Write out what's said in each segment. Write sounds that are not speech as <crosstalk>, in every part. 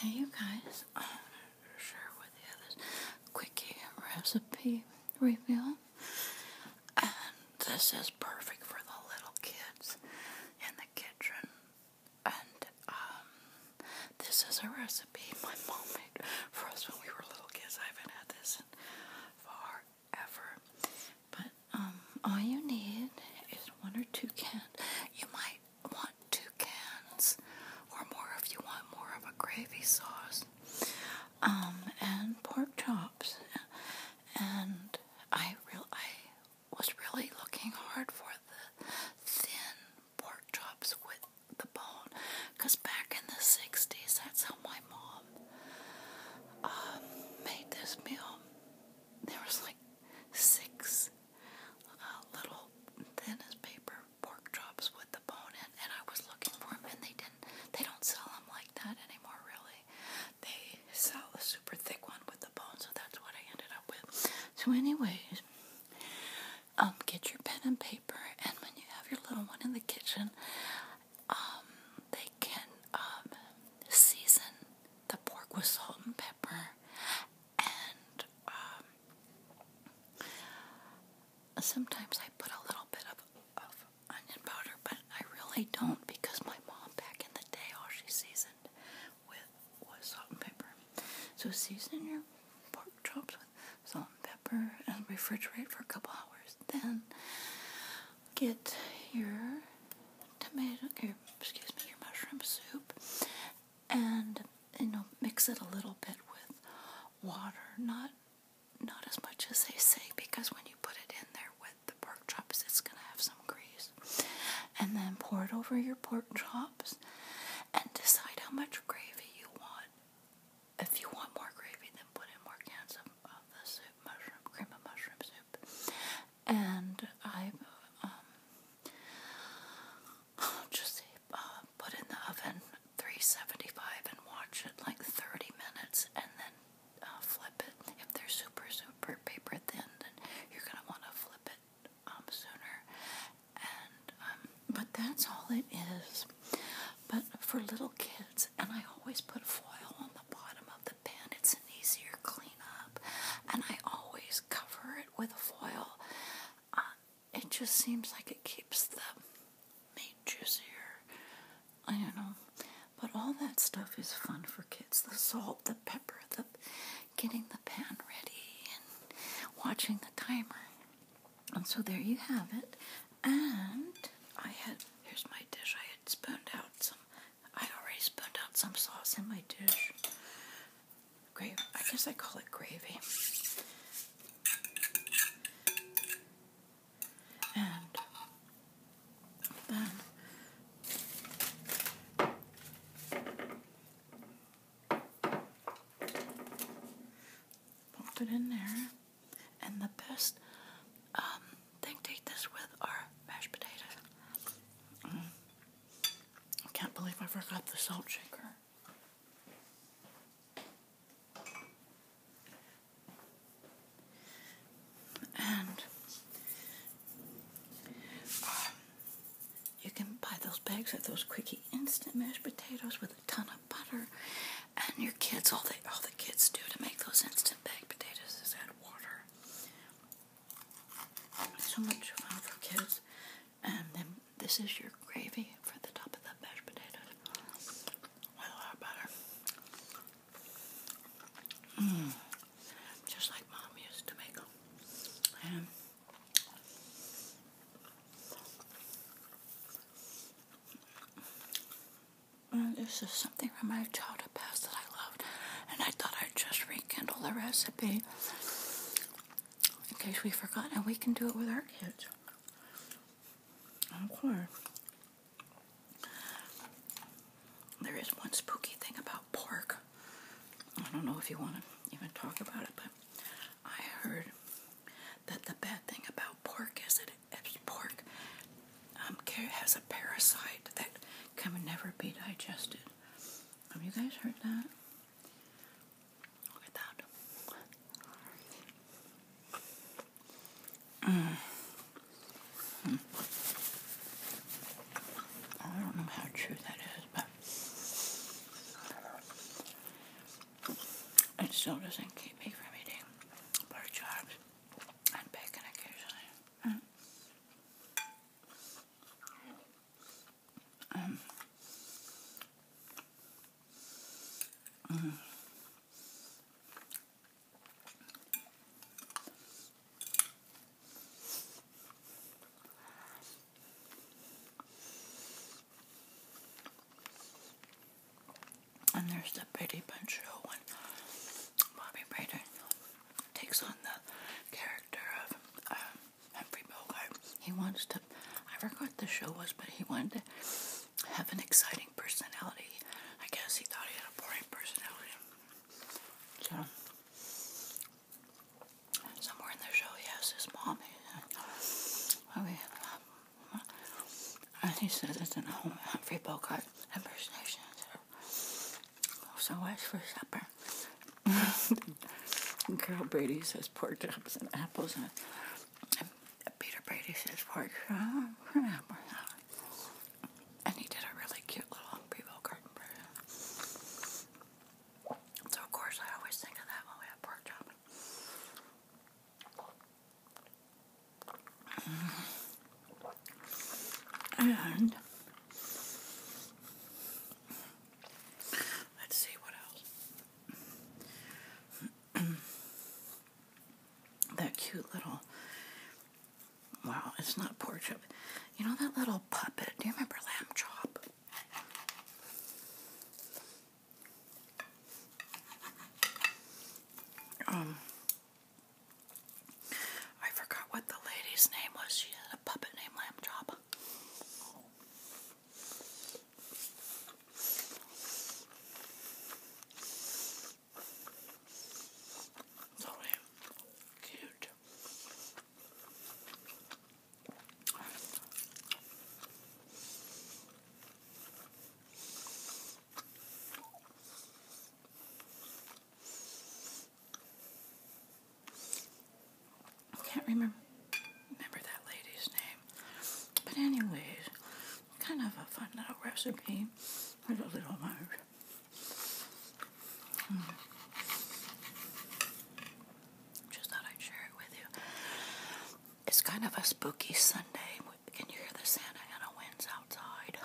Hey you guys, I'm gonna share with you this quickie recipe reveal. this is perfect for the little kids in the kitchen. And um, this is a recipe my mom made for us when we were little kids. I haven't had this in forever. But um, all you need is one or two cans. You might want two cans or more if you want more of a gravy sauce. Um, and pork chops. And I real I was really looking hard for the thin pork chops with the bone, cause back in the '60s, that's how my mom um, made this meal. There was like six little thin as paper pork chops with the bone in, and I was looking for them, and they didn't. They don't sell them like that anymore, really. They sell a super thick one with the bone, so that's what I ended up with. So, anyways, um, get your pen and paper, and when you have your little one in the kitchen, um, they can um, season the pork with salt and pepper and um, sometimes I put a little bit of, of onion powder but I really don't because my mom back in the day all she seasoned with was salt and pepper. So season your pork chops with salt and pepper and refrigerate for a couple hours. Then get your tomato, your, excuse me, your mushroom soup and, you know, mix it a little bit with water. Not, not as much as they say because when you put it in there with the pork chops, it's going to have some grease. And then pour it over your pork chops and decide how much gravy you want. If you want more gravy, then put in more cans of, of the soup, mushroom, cream of mushroom soup and I um, <sighs> just uh, put in the oven 375 and watch it like 30 minutes and then uh, flip it. If they're super, super paper thin, then you're going to want to flip it um, sooner. And um, But that's all it is. But for little kids, and I always put foil on the bottom of the pen. It's an easier cleanup. And I always cover it with foil. Uh, it just seems like it keeps the meat juicier. I don't know. But all that stuff is fun for kids. The salt, the pepper, the getting the pan ready and watching the timer. And so there you have it. And I had here's my dish. I had spooned out some. I already spooned out some sauce in my dish. Gravy. I guess I call it gravy. And then pop it in there. And the best um, thing to eat this with are mashed potatoes. Mm. I can't believe I forgot the salt shaker. And um, you can buy those bags of those quickie instant mashed potatoes with a ton of butter and your kids, all they all the kids do to make those instant baked potatoes is add water. So much fun for kids. And then this is your gravy for the top of the mashed potatoes a lot of butter. Mm. Just like mom used to make them. This is something from my childhood past that I loved, and I thought I'd just rekindle the recipe in case we forgot, and we can do it with our kids. Of course. There is one spooky thing about pork. I don't know if you want to even talk about it, but I heard that the bad thing about pork is that it's pork um, has a parasite that can never be digested. Have you guys heard that? Look at that. Mm. Hmm. I don't know how true that is, but it still doesn't keep me from eating pork chops and bacon occasionally. Um, and there's the Brady Bunch show when Bobby Brady takes on the character of um, Humphrey Bogart. He wants to, I forgot the show was, but he wanted to have an exciting personality. I guess he thought he had a boring personality. So, somewhere in the show, he has his mom. He, and he says it's an Humphrey Bogart impersonation. So what's for supper? <laughs> Carol Brady says pork chops and apples, and, Peter Brady says pork chops and apples. And he did a really cute little Humphrey Bogart impression. So of course I always think of that when we have pork chops. And let's see what else. <clears throat> that cute little wow, it's not pork chop. You know that little puppet? Do you remember Lamb Chop? Um, I forgot what the lady's name was. She had a puppet named Lamb So cute. I can't remember remember that lady's name. But anyways, kind of a fun little recipe with a little mug. Just thought I'd share it with you. It's kind of a spooky Sunday. Can you hear the Santa Ana winds outside?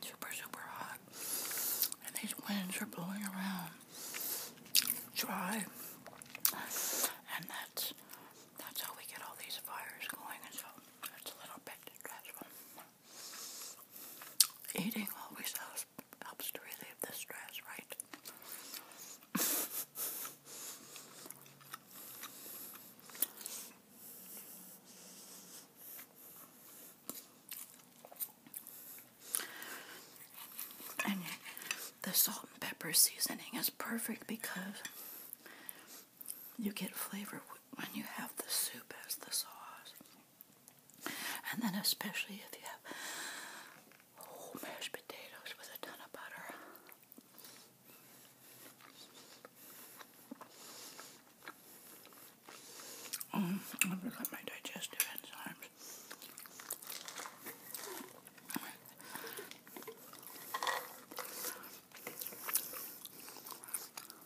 Super, super hot. And these winds are blowing around. Dry. And that's that's how we get all these fires going and so it's a little bit stressful. Eating always has helps to relieve the stress, right? and the salt and pepper seasoning is perfect because you get flavor when you have the soup as the sauce. And then especially if you have mashed potatoes with a ton of butter. Um, mm, I forgot my digestive enzymes.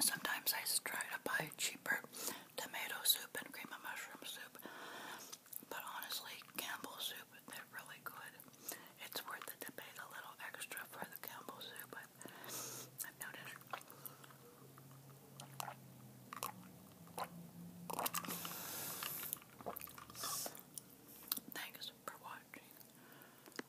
Sometimes I try to buy cheaper tomato soup and cream of mushroom soup, but honestly, Campbell's soup, they're really good. It's worth the debate a little extra for the Campbell's soup, but I've noticed. Thanks for watching.